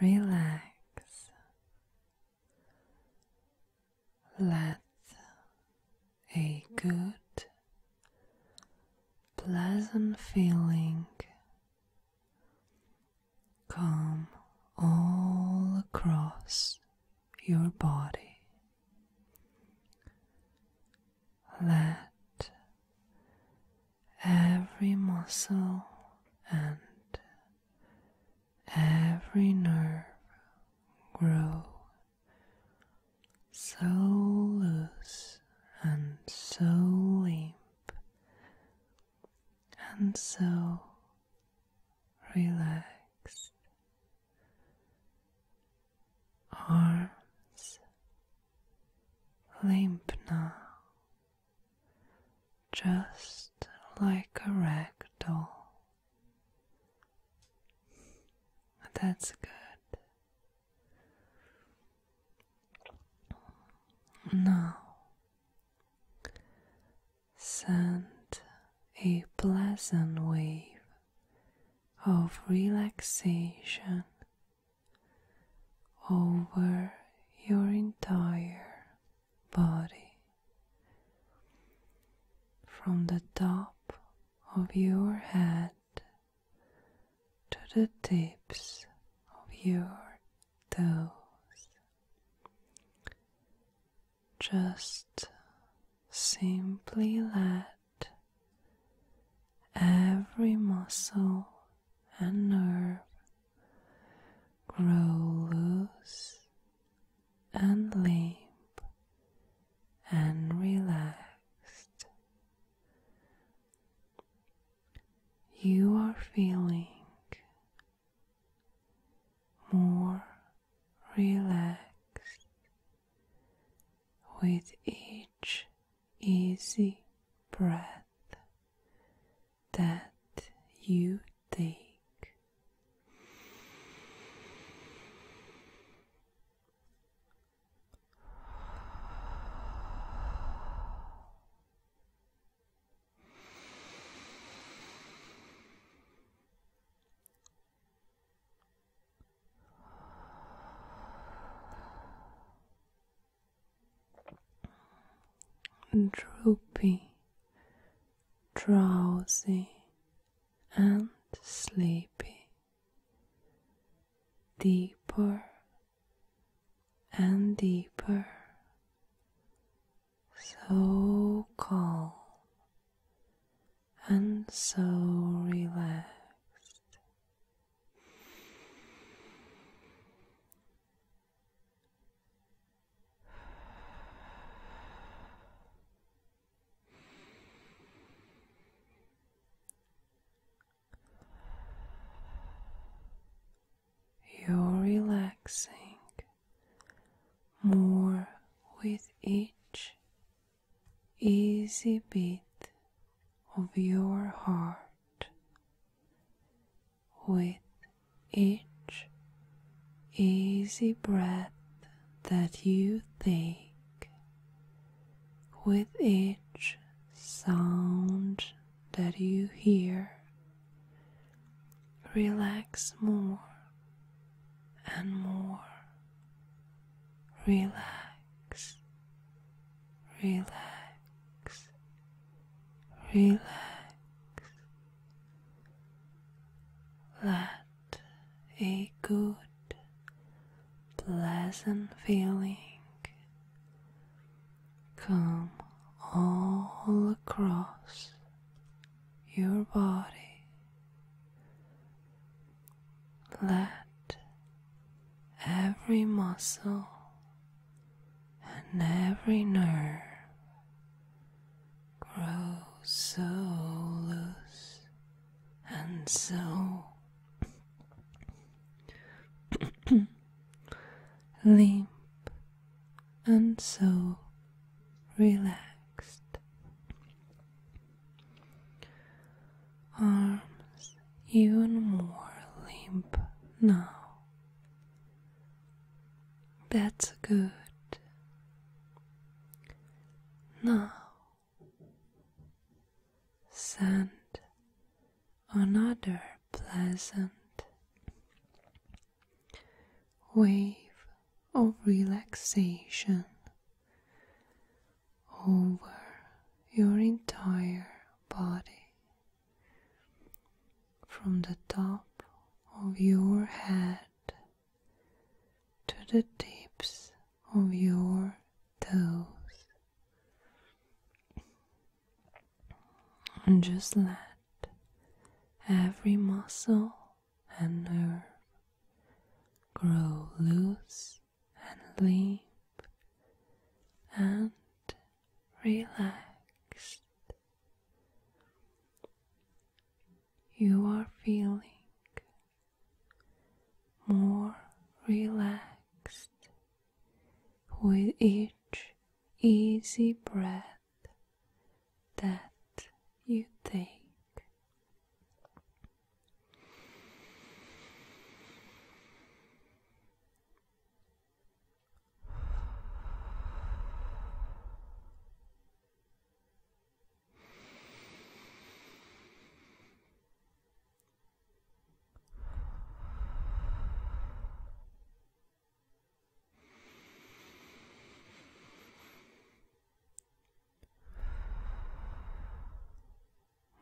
relax, let a good, pleasant feeling come all across your body. Let every muscle and every nerve grow so loose and so limp and so relaxed. Arms Limp now, just like a rag doll. That's good. Now, send a pleasant wave of relaxation over your entire body from the top of your head to the tips of your toes. Just simply let every muscle and nerve grow loose and limp and relaxed. You are feeling more relaxed with each easy breath that you take, droopy, drowsy, and sleepy, deeper and deeper, so calm and so relaxed. You're relaxing more with each easy beat of your heart with each easy breath that you take, with each sound that you hear. Relax more and more. Relax, relax, relax. Let a good, pleasant feeling come all across your body. Let every muscle and every nerve grow so loose and so limp and so relaxed. Arms even more limp now. That's good. Now, send another pleasant wave of relaxation over your entire body from the top of your head to the tips of your toes. And just let every muscle and nerve grow loose and limp and relaxed. You are feeling more relaxed with each easy breath that you think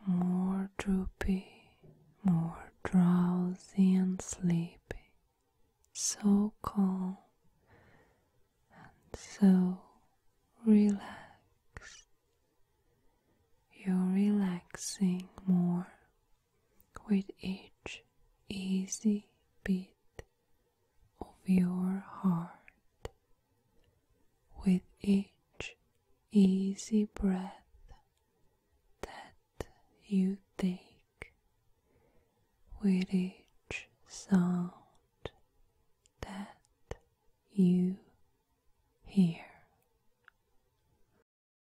more droopy, more drowsy and sleepy, so calm and so relaxed. You're relaxing more with each easy beat of your heart, with each easy breath that you take, with each sound that you hear.